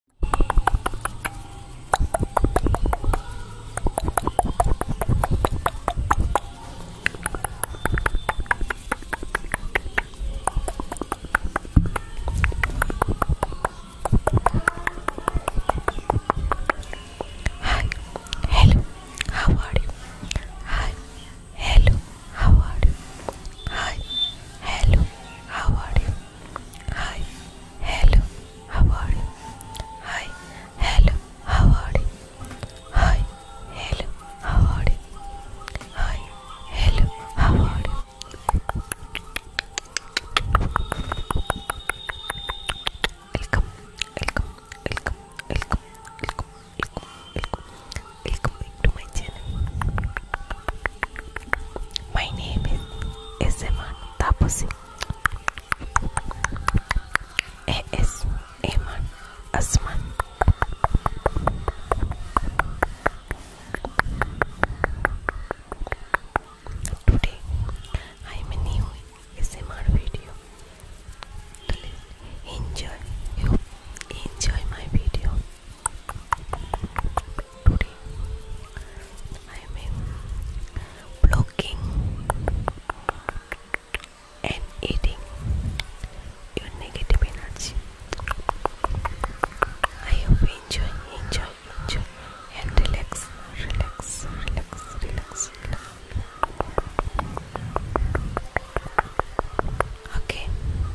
Hi, hello, how are you? Hi, hello, how are you? Hi, hello, how are you? Hi, hello, how are you? Hi, hello, how are you? Hi, hello, how are you? Hi, hello, how are you? Welcome, welcome, welcome, welcome, welcome, welcome, welcome back to my channel. My name is Iseman Tapasi. A.S. Asman. Today I am a new Iseman video. Enjoy you enjoy my video. I am blocking and eating your negative energy. I hope you enjoy, enjoy, enjoy and relax, relax, relax, relax. Okay,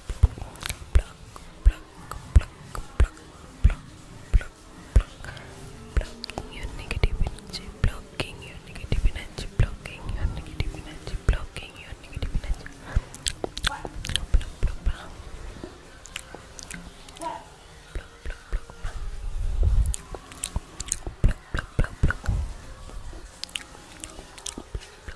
Blocking your negative energy, blocking your negative energy, blocking your negative energy, blocking your negative energy. Block, block, block, block. Block, block, block, block. Block, block, block,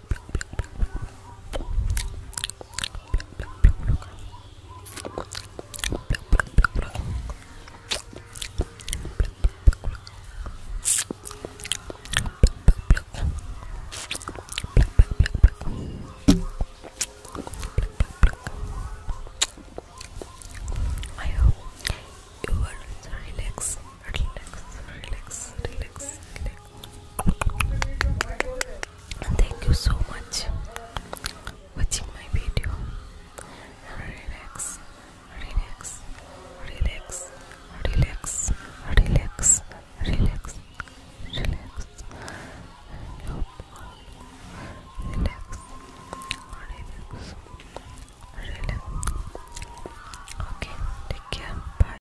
I hope you are relaxed, relaxed, relaxed, relaxed, relaxed thank you so much watching my video relax relax relax relax relax Relax. Relax. Relax. Okay, take care. Bye.